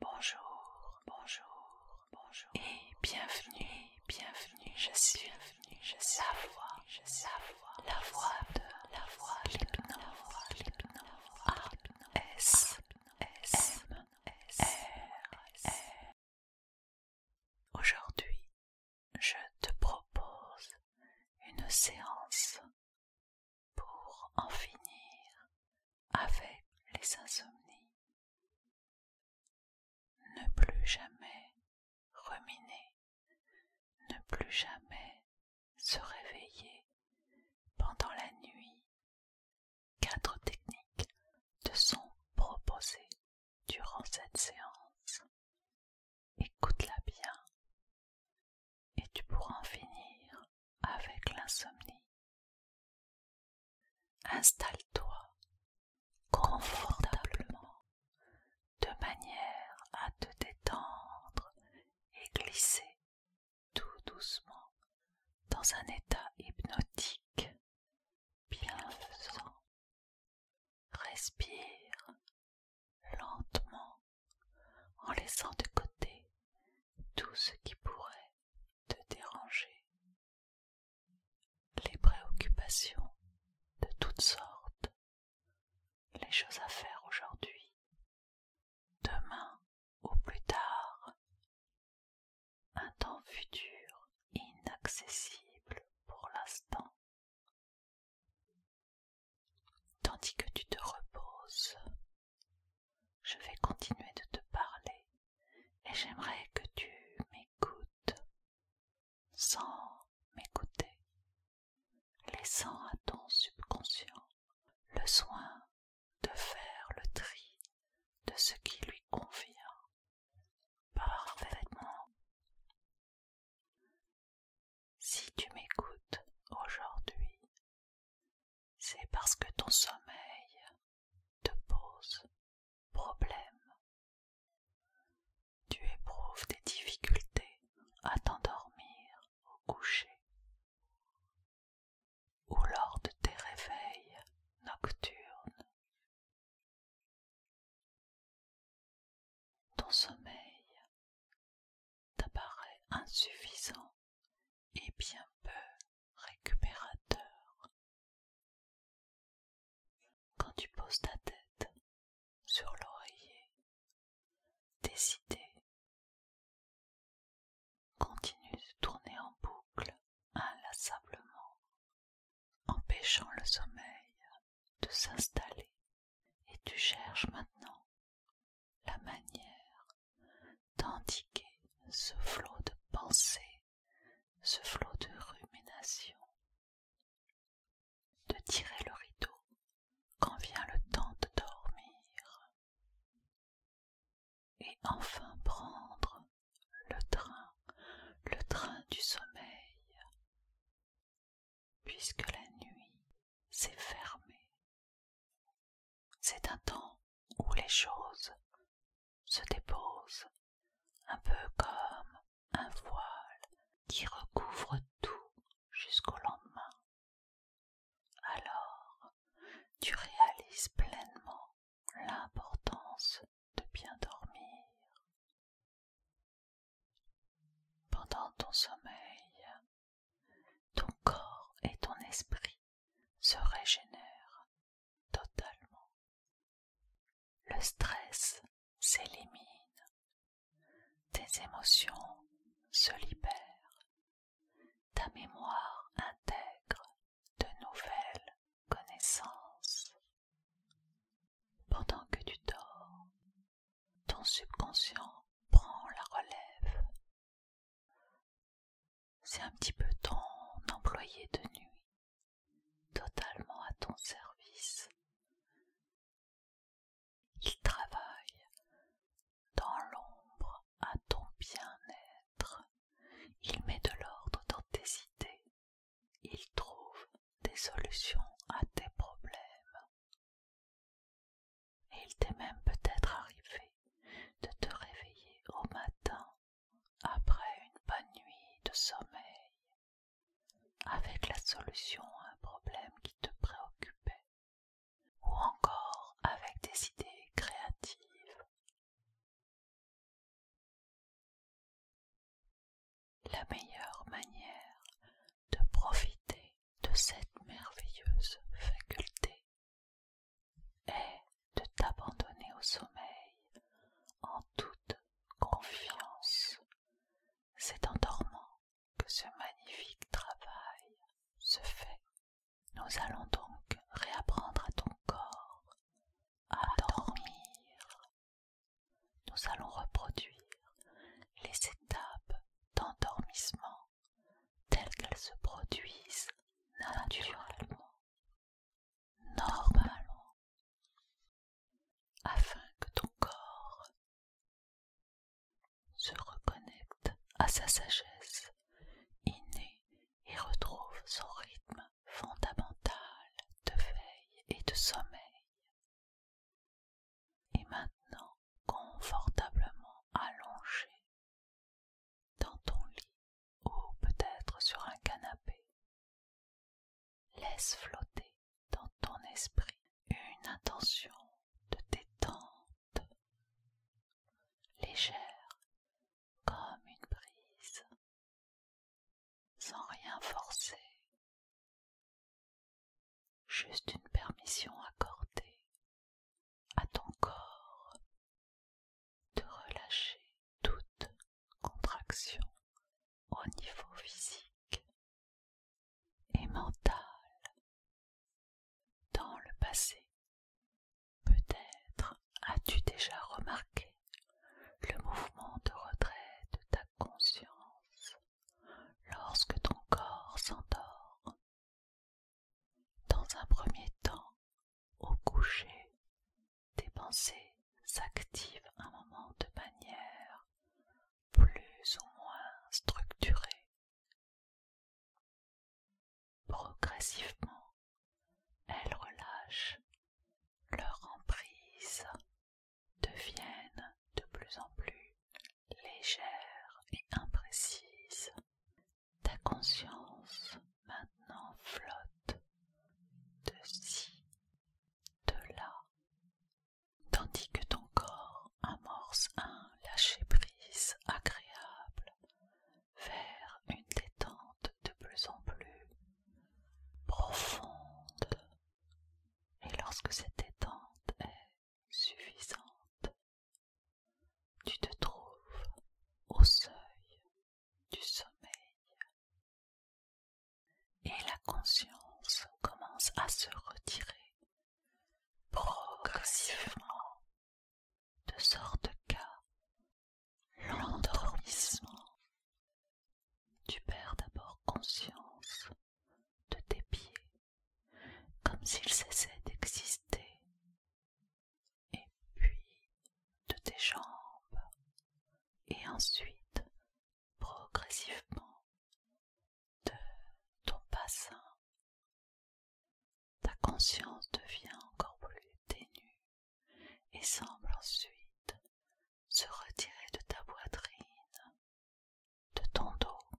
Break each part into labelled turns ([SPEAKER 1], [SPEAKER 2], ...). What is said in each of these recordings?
[SPEAKER 1] Bonjour, bonjour, bonjour. Et bienvenue, bienvenue. Je suis bienvenue, je sa la voix, je sa la voix, la voix de la voix la voix S S Aujourd'hui, je te propose une séance pour en finir avec les insomnies. Ne plus jamais ruminer, ne plus jamais se réveiller pendant la nuit. Quatre techniques te sont proposées durant cette séance. Écoute-la bien et tu pourras en finir avec l'insomnie. Installe-toi confortablement de manière à te détendre et glisser tout doucement dans un état hypnotique bienfaisant. Respire lentement en laissant de côté tout ce qui pourrait te déranger, les préoccupations de toutes sortes, les choses à faire aujourd'hui, demain ou plus tard, un temps futur inaccessible pour l'instant, tandis que tu te reposes je vais continuer de te parler et j'aimerais que tu m'écoutes sans m'écouter, laissant à ton subconscient le soin de faire le tri de ce qui lui convient parfaitement. Si tu m'écoutes aujourd'hui, c'est parce que ton sommeil te pose problème. Tu éprouves des difficultés à t'endormir au coucher ou lors de tes réveils nocturnes. Ton sommeil t'apparaît insuffisant et bien peu récupérateur. Quand tu poses ta tête sur l'oreiller, tes continue de tourner en boucle inlassablement, empêchant le sommeil de s'installer et tu cherches maintenant la manière d'indiquer ce flot de pensée, ce flot de rumination, de tirer le rideau quand vient le temps de dormir, et enfin prendre le train, le train du sommeil, puisque la nuit s'est fermée c'est un temps où les choses se déposent, un peu comme un voile qui recouvre tout jusqu'au lendemain. Alors, tu réalises pleinement l'importance de bien dormir. Pendant ton sommeil, ton corps et ton esprit se régénèrent totalement. Le stress s'élimine, tes émotions se libèrent, ta mémoire intègre de nouvelles connaissances. Pendant que tu dors, ton subconscient prend la relève c'est un petit peu ton employé de nuit, totalement à ton service. Il travaille dans l'ombre à ton bien-être. Il met de l'ordre dans tes idées. Il trouve des solutions à tes problèmes. Et il t'est même peut-être arrivé de te réveiller au matin après une bonne nuit de sommeil avec la solution à un problème qui te préoccupait ou encore avec des idées créatives. La meilleure manière de profiter de cette merveilleuse faculté et de t'abandonner au sommeil en toute confiance. C'est en dormant que ce magnifique travail se fait. Nous allons donc réapprendre à ton corps à dormir. Nous allons reproduire les étapes d'endormissement telles qu'elles se produisent naturellement, normalement, afin que ton corps se reconnecte à sa sagesse innée et retrouve son rythme fondamental de veille et de sommeil. Et maintenant, confortablement allongé dans ton lit ou peut-être sur un canapé. Laisse flotter dans ton esprit une intention de détente légère comme une brise, sans rien forcer, juste une permission accordée à ton corps de relâcher toute contraction au niveau physique et mental dans le passé. Peut-être as-tu déjà remarqué le mouvement de retrait de ta conscience lorsque ton corps s'endort dans un premier temps, au coucher, tes pensées s'activent un moment de manière plus ou moins structurée. Progressivement, elles relâchent leur emprise, deviennent de plus en plus légères et imprécises, ta conscience maintenant flotte de ci, de là, tandis que ton corps amorce un lâcher-prise agréable vers une détente de plus en plus profonde. Et lorsque cette détente est suffisante, tu te trouves au seuil du sommeil et la conscience commence à se retirer progressivement de sorte qu'à l'endormissement tu perds d'abord conscience de tes pieds comme s'ils cessaient d'exister et puis de tes jambes, et ensuite progressivement de ton bassin. Ta conscience devient encore plus ténue et semble ensuite se retirer de ta poitrine, de ton dos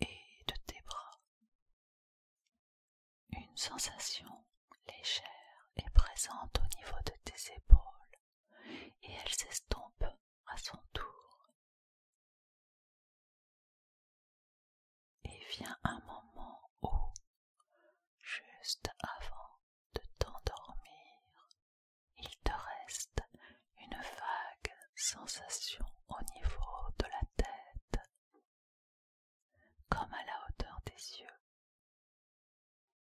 [SPEAKER 1] et de tes bras. Une sensation légère est présente au niveau de tes épaules et elle s'estompe à son tour. Et vient un moment où, juste avant de t'endormir, il te reste une vague sensation au niveau de la tête comme à la hauteur des yeux.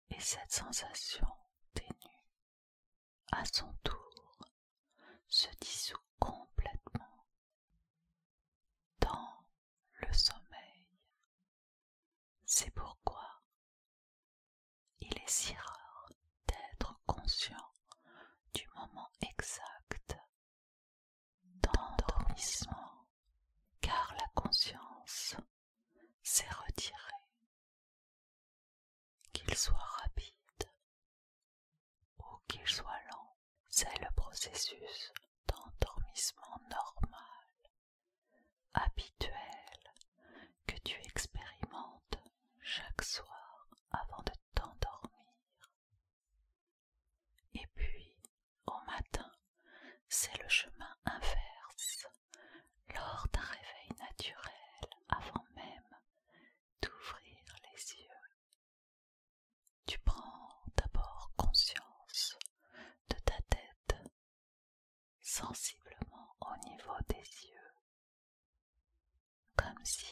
[SPEAKER 1] Et cette sensation ténue, à son tour, se dissout complètement dans le sommeil. C'est pourquoi il est si rare d'être conscient du moment exact d'endormissement, car la conscience s'est retirée. Qu'il soit rapide ou qu'il soit lent, c'est le processus d'endormissement normal, habituel, que tu expérimentes chaque soir avant de t'endormir. Et puis, au matin, c'est le chemin inverse, lors d'un réveil naturel avant même d'ouvrir les yeux. Tu prends d'abord conscience de ta tête, sensiblement au niveau des yeux comme si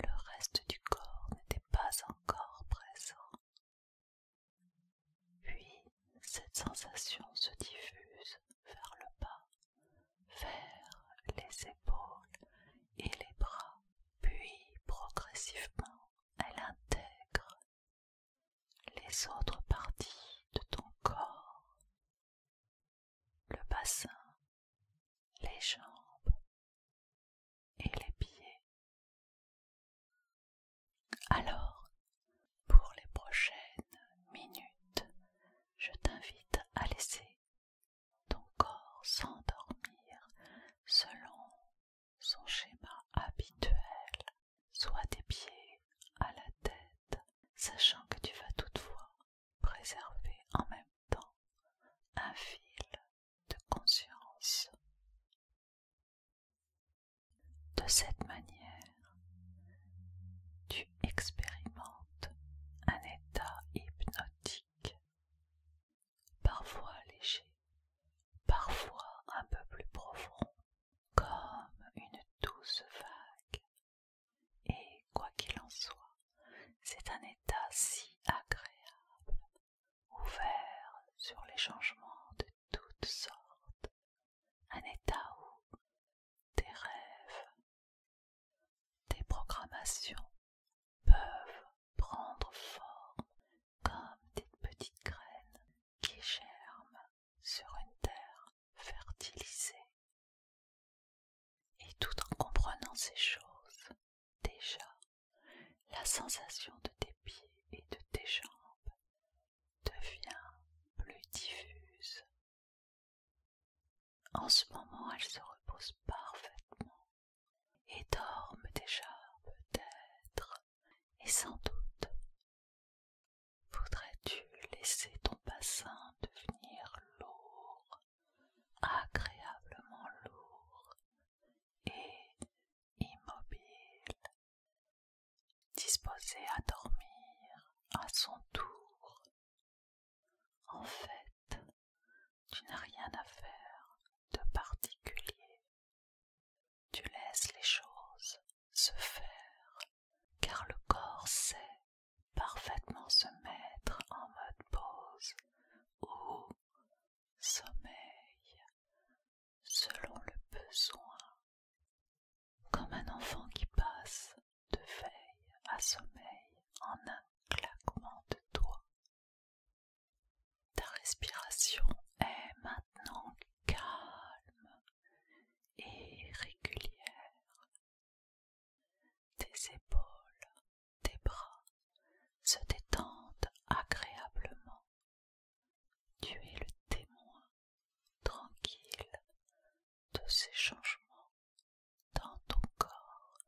[SPEAKER 1] le reste du corps n'était pas encore présent. Puis cette sensation se diffuse vers le bas, vers les épaules et les bras, puis progressivement elle intègre les autres parties de ton corps, le bassin, les jambes et les pieds. Alors, pour les prochaines minutes, je t'invite à laisser ton corps s'endormir selon son schéma habituel, soit des pieds à la tête, sachant que tu vas toutefois préserver en même temps un fil de conscience. De cette manière, tu expérimentes un état hypnotique, parfois léger, parfois un peu plus profond, comme une douce vague. Et quoi qu'il en soit, c'est un état si agréable ouvert sur les changements de toutes sortes, un état où tes rêves, des programmations peuvent prendre forme comme des petites graines qui germent sur une terre fertilisée. Et tout en comprenant ces choses, Déjà, la sensation de tes pieds et de tes jambes devient plus diffuse. En ce moment, elle se repose parfaitement et dorme déjà peut-être et sans doute. Voudrais-tu laisser ton bassin devenir lourd agréablement lourd et immobile, disposé à dormir à son tour. En fait, tu n'as rien à faire de particulier. Tu laisses les choses se faire, car le corps sait parfaitement se mettre en mode pause ou sommeil selon le besoin, comme un enfant qui passe de veille à sommeil en un claquement de doigts. Ta respiration est maintenant calme et régulière. Tes épaules tes bras se détendent agréablement. Tu es le témoin tranquille de ces changements dans ton corps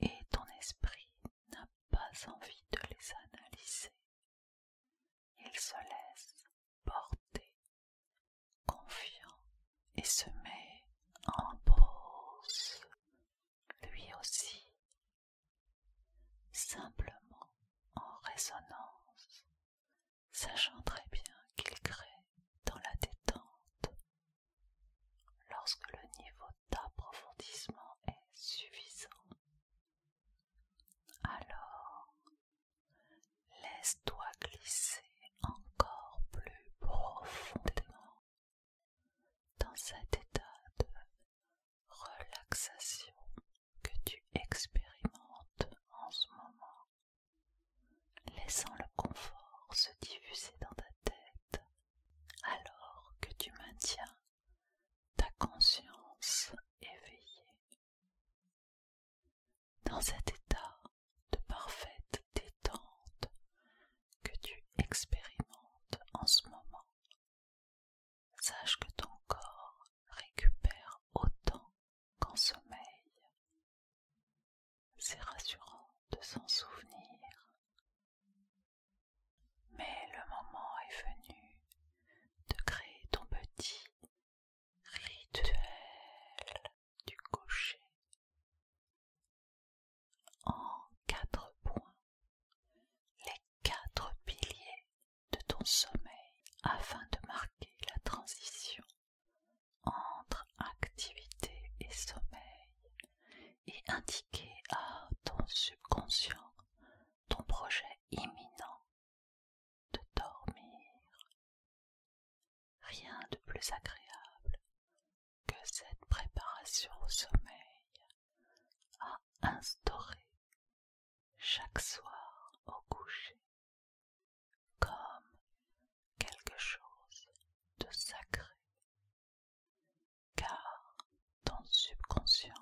[SPEAKER 1] et ton esprit n'a pas envie de les analyser. Il se laisse porter, confiant et se met en pause lui aussi, simplement en résonance, sachant très bien qu'il crée dans la détente, lorsque le niveau d'approfondissement est suffisant, alors laisse-toi glisser encore plus profondément dans cet état de relaxation que tu expérimentes en ce moment, laissant le confort se diffuser dans ta tête alors que tu maintiens ta conscience éveillée. Dans cet état de parfaite détente, que tu expérimentes en ce moment. Sache que ton corps récupère autant qu'en sommeil. C'est rassurant de s'en souvenir. Mais le moment est venu de créer ton petit rituel du cocher en quatre points les quatre piliers de ton sommeil afin de marquer la transition entre activité et sommeil et indiquer à ton subconscient ton projet imminent de dormir. Rien de plus agréable que cette préparation au sommeil a instauré chaque soir au coucher comme quelque chose de sacré, car ton subconscient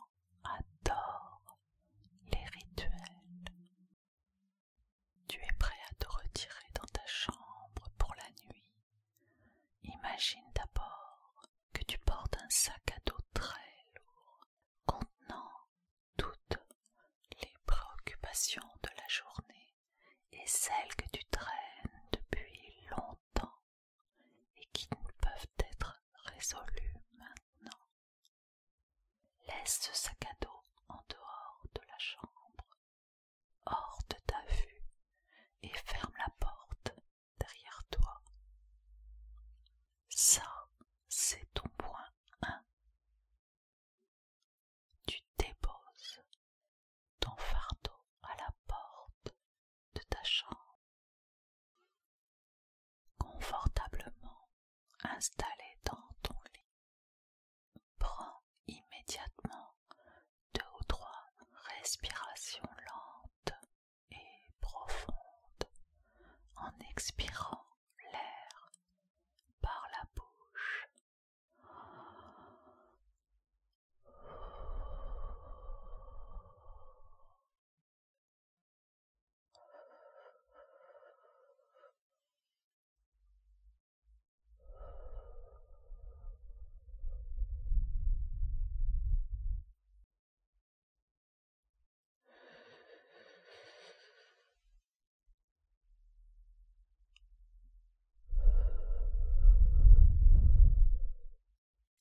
[SPEAKER 1] adore les rituels. Tu es prêt à te retirer dans ta chambre pour la nuit Imagine d'abord que tu portes un sac à dos très lourd contenant toutes les préoccupations de la journée et celles que tu traînes depuis longtemps et qui ne peuvent être résolues maintenant. Laisse ce sac à dos en dehors de la chambre, hors de ta vue, et ferme la porte derrière toi. Ça, c'est ton point 1. Tu déposes ton fardeau à la porte de ta chambre. Confortablement installé dans ton lit, prends immédiatement deux ou trois respirations lentes et profondes en expirant l'air par la bouche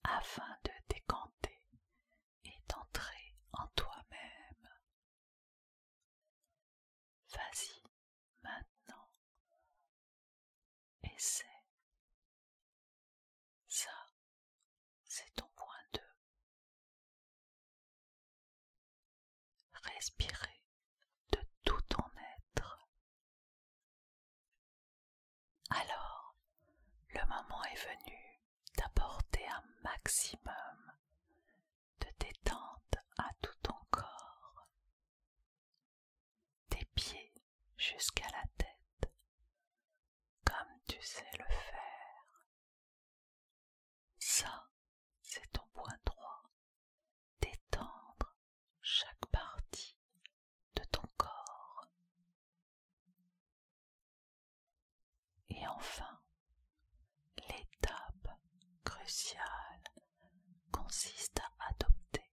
[SPEAKER 1] afin de décanter et d'entrer en toi-même. Vas-y maintenant et ça, c'est ton point 2. Respirer de tout ton être. Alors, le moment est venu d'apporter un maximum de détente à tout ton corps des pieds jusqu'à la tête, comme tu sais le faire. Ça, c'est ton point droit, d'étendre chaque partie de ton corps. Et enfin, l'étape cruciale consiste à adopter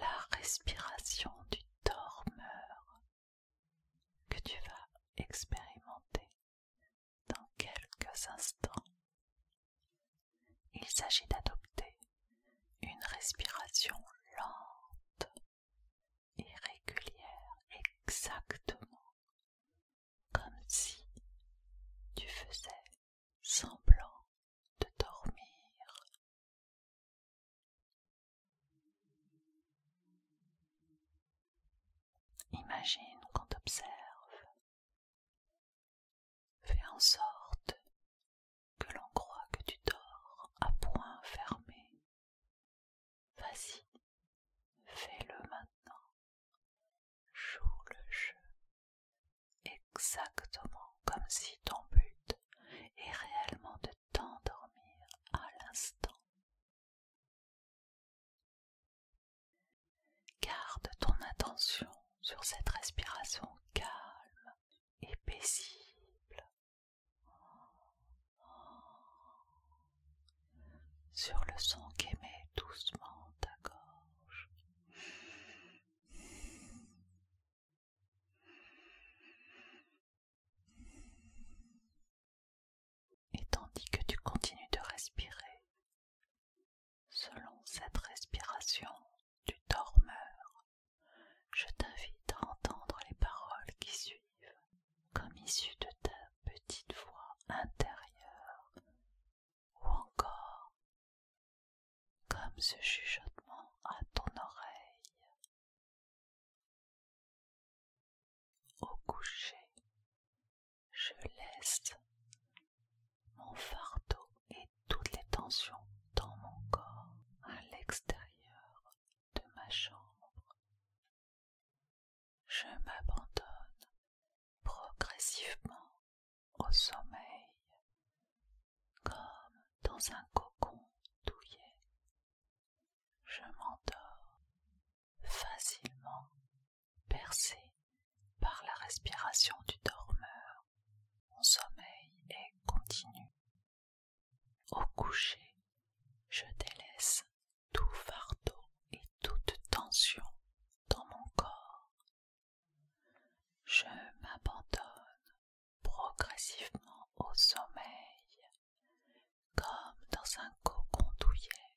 [SPEAKER 1] la respiration du dormeur que tu vas expérimenter dans quelques instants. Il s'agit d'adopter une respiration lente et régulière exactement comme si tu faisais semblant de dormir. Imagine qu'on t'observe. Fais en sorte que l'on croit que tu dors à point fermé. Vas-y, fais-le maintenant. Joue le jeu exactement comme si ton but est réellement de t'endormir à l'instant. Garde ton attention sur cette respiration calme et paisible, sur le son qu'émet doucement ta gorge. Et tandis que tu continues de respirer, selon cette respiration tu dormeur, je t'invite à entendre les paroles qui suivent comme issues de ta petite voix intérieure ou encore comme ce chuchotement à ton oreille. Au coucher, je laisse mon fardeau et toutes les tensions dans mon corps à l'extérieur de ma chambre. Je m'abandonne progressivement au sommeil comme dans un cocon douillet. Je m'endors facilement percé par la respiration du dormeur. Mon sommeil est continu. Au coucher, je délaisse tout fardeau et toute tension dans mon corps. Je m'abandonne progressivement au sommeil, comme dans un cocon douillet.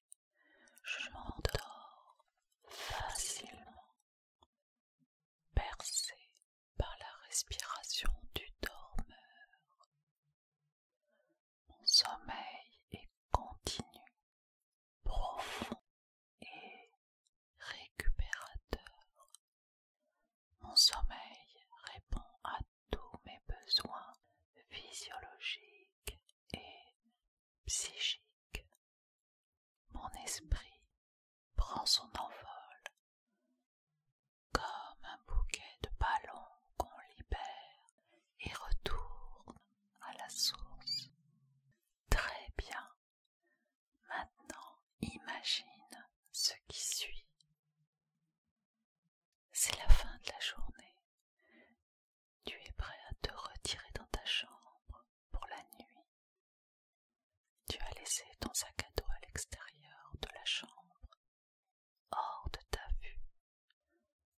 [SPEAKER 1] Je m'endors facilement, bercé par la respiration du dormeur. Mon sommeil est continu, profond et récupérateur. Mon sommeil répond à tous mes besoins physiologiques et psychiques. Mon esprit prend son envol comme un bouquet de ballons qu'on libère et retourne à la source. Très bien, Maintenant, imagine ce qui suit. C'est la fin de la journée. Tu es prêt à te retirer dans ta chambre pour la nuit. Tu as laissé ton sac à dos à l'extérieur de la chambre, hors de ta vue.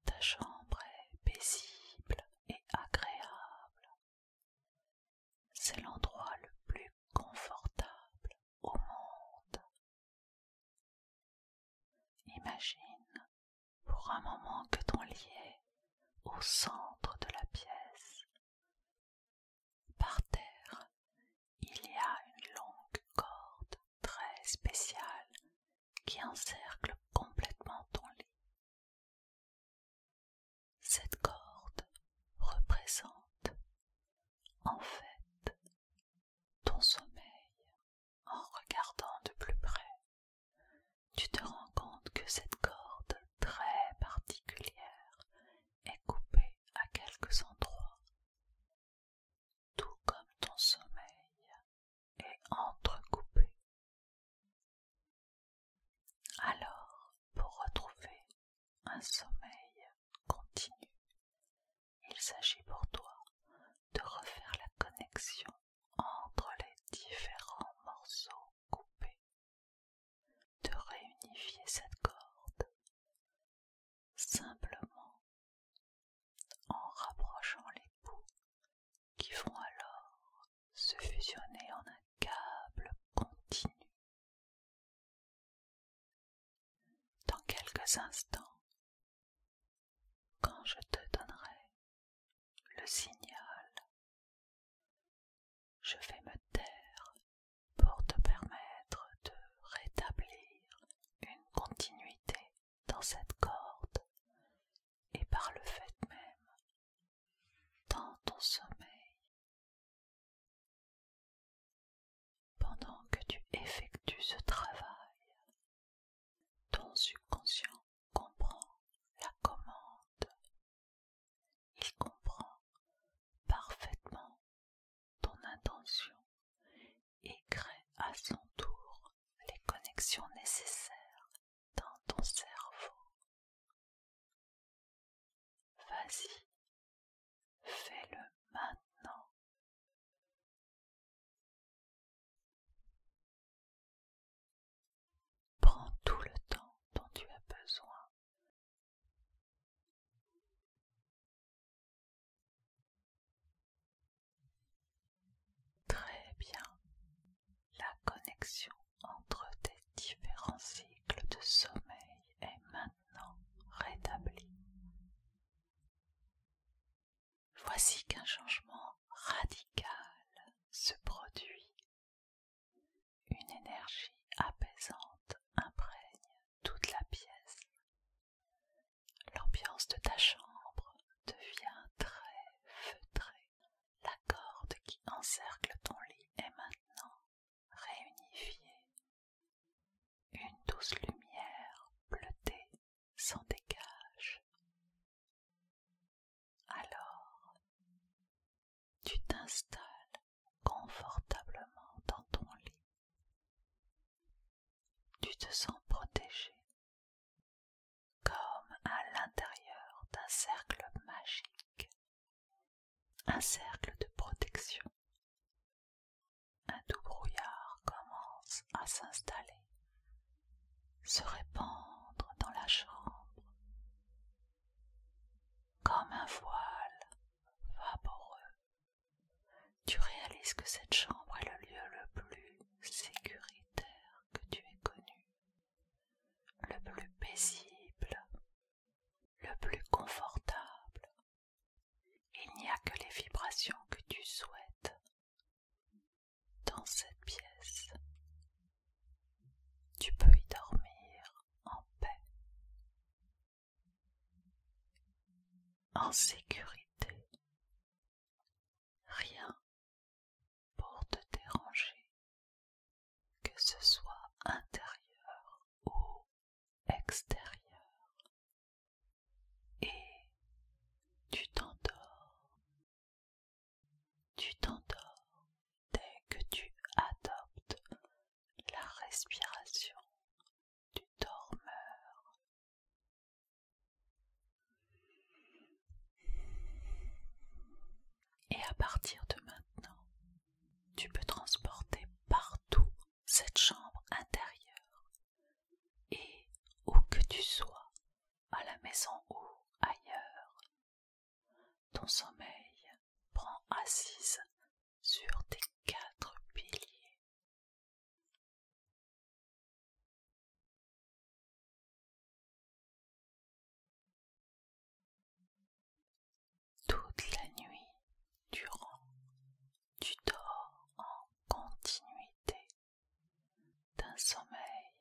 [SPEAKER 1] Ta chambre est paisible et agréable. C'est l'endroit le plus confortable au monde. Imagine pour un moment que ton lit est au centre de la pièce. Par terre, il y a une longue corde très spéciale qui encercle complètement ton lit. Cette corde représente en fait ton sommeil. En regardant de plus près, tu te rends compte que cette corde très particulière est coupée à quelques endroits. Tout comme ton sommeil est entrecoupé. Alors, pour retrouver un sommeil continu, il s'agit pour toi de refaire la connexion entre les différents morceaux coupés, de réunifier cette corde simplement en rapprochant les bouts qui vont alors se fusionner en un câble continu dans quelques instants, quand je te donnerai le signal, je vais me taire pour te permettre de rétablir une continuité dans cette corde et par le fait même, dans ton sommeil, pendant que tu effectues ce travail, ton subconscient comprend la commande. Il comprend parfaitement ton intention et crée à son tour les connexions nécessaires dans ton cerveau. Vas-y, fais-le maintenant. Prends tout le temps dont tu as besoin. Très bien. La connexion entre tes différents cycles de sommeil est rétabli. Voici qu'un changement radical se produit. Une énergie apaisante imprègne toute la pièce. L'ambiance de ta chambre devient très feutrée. La corde qui encercle ton lit est maintenant réunifié, une douce lumière bleutée s'en dégage. Alors, tu t'installes confortablement dans ton lit. Tu te sens protégé comme à l'intérieur d'un cercle magique. Un cercle de protection. Un doux brouillard commence à s'installer, se répandre dans la chambre, comme un voile vaporeux. Tu réalises que cette chambre est le lieu le plus sécuritaire que tu aies connu, le plus paisible le plus confortable. Il n'y a que les vibrations que tu souhaites dans cette pièce. Tu peux y dormir en paix, en sécurité. Rien pour te déranger que ce soit intérieur ou extérieur, et tu t'endors, tu t'endors dès que tu adoptes la respiration du dormeur. Et à partir de maintenant, tu peux transporter partout cette chambre intérieure. Et où que tu sois, à la maison ou ailleurs, ton sommeil prend assise sur tes quatre piliers. Toute la nuit durant, tu dors en continuité d'un sommeil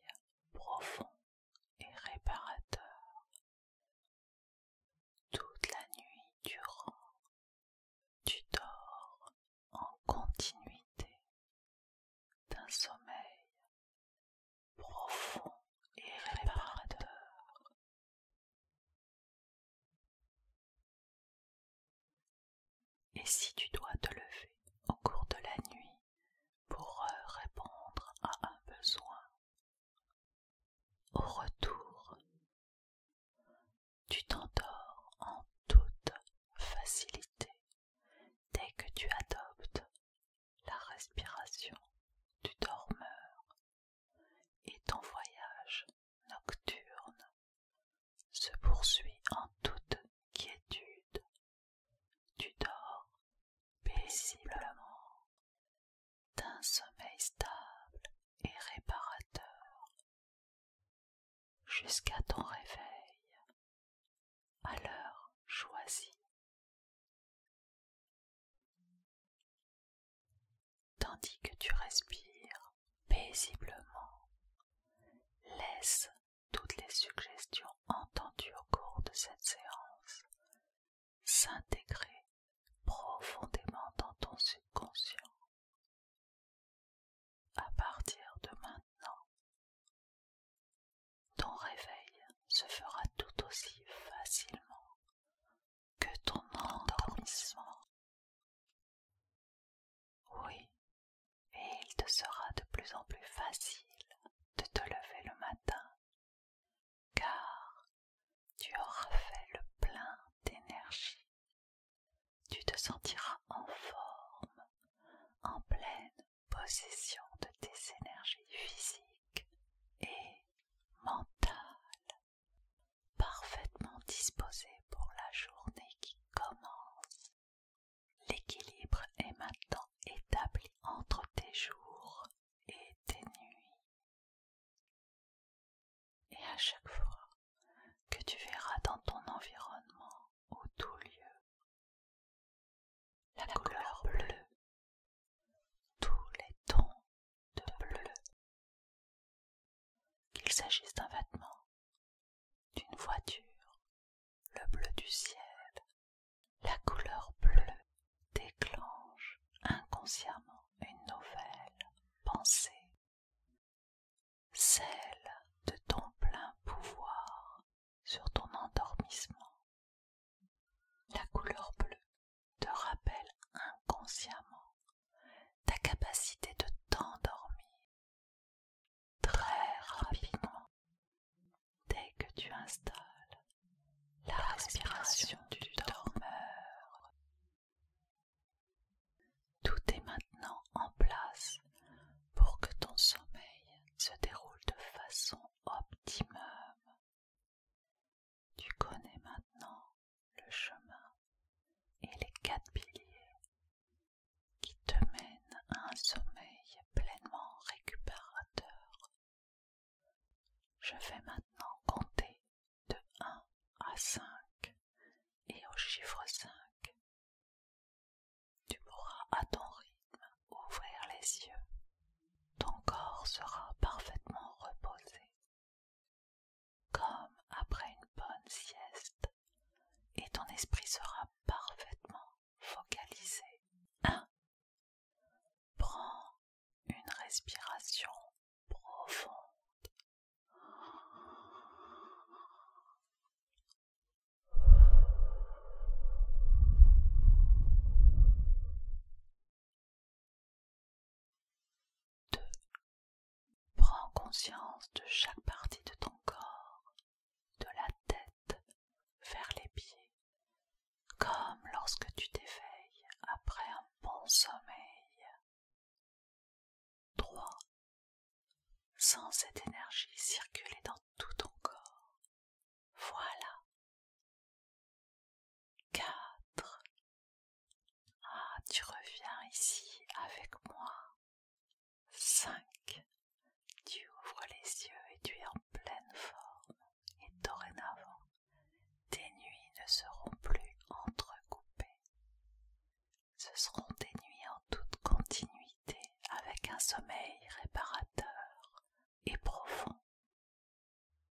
[SPEAKER 1] profond et réparateur. Toute la nuit durant, tu dors en continuité d'un sommeil profond et réparateur. Et si tu dois te lever au cours de la nuit pour euh, répondre à un besoin, au retour, tu t'endors en toute facilité dès que tu adoptes la respiration du dormeur et ton voyage nocturne se poursuit en toute quiétude. Tu dors paisiblement d'un sommeil stable et réparateur jusqu'à ton réveil à l'heure choisie Tandis que tu respires paisiblement, laisse toutes les suggestions entendues au cours de cette séance s'intégrer profondément dans ton subconscient. À partir de maintenant, ton réveil se fera tout aussi facilement que ton endormissement. Oui, et il te sera de plus en plus facile de te lever le matin, car tu auras fait le plein d'énergie. Tu te sentiras en forme, en pleine possession de tes énergies physiques et mentales parfaitement disposé pour la journée qui commence. L'équilibre est maintenant établi entre tes jours et tes nuits. Et à chaque fois que tu verras dans ton environnement ou tout lieu la, la couleur bleue tous les tons de bleu, qu'il s'agisse d'un vêtement, d'une voiture, le bleu du ciel, la couleur bleue déclenche inconsciemment une nouvelle pensée, celle de ton plein pouvoir sur ton endormissement la couleur bleue te rappelle inconsciemment ta capacité de t'endormir très rapidement dès que tu installes la, respiration du dormeur. Tout est maintenant en place pour que ton sommeil se déroule de façon optimum tu connais maintenant le chemin et les quatre piliers qui te mènent à un sommeil pleinement récupérateur. Je vais maintenant compter de 1 à 5 et au chiffre 5. Tu pourras à ton rythme ouvrir les yeux. Ton corps sera parfaitement reposé. Comme après une bonne sieste, et ton esprit sera parfaitement focalisé. Prends une respiration profonde. 2. Prends conscience de chaque partie de ton corps, de la tête vers les pieds, comme lorsque tu t'éveilles après un bon sommeil. 3. Sens cette énergie circuler dans tout ton corps. Voilà 4 Ah, tu reviens ici avec moi. Cinq. Tu ouvres les yeux et tu es en pleine forme. Et dorénavant, tes nuits ne seront plus entrecoupées. Ce seront des nuits en toute continuité avec un sommeil réparateur et profond.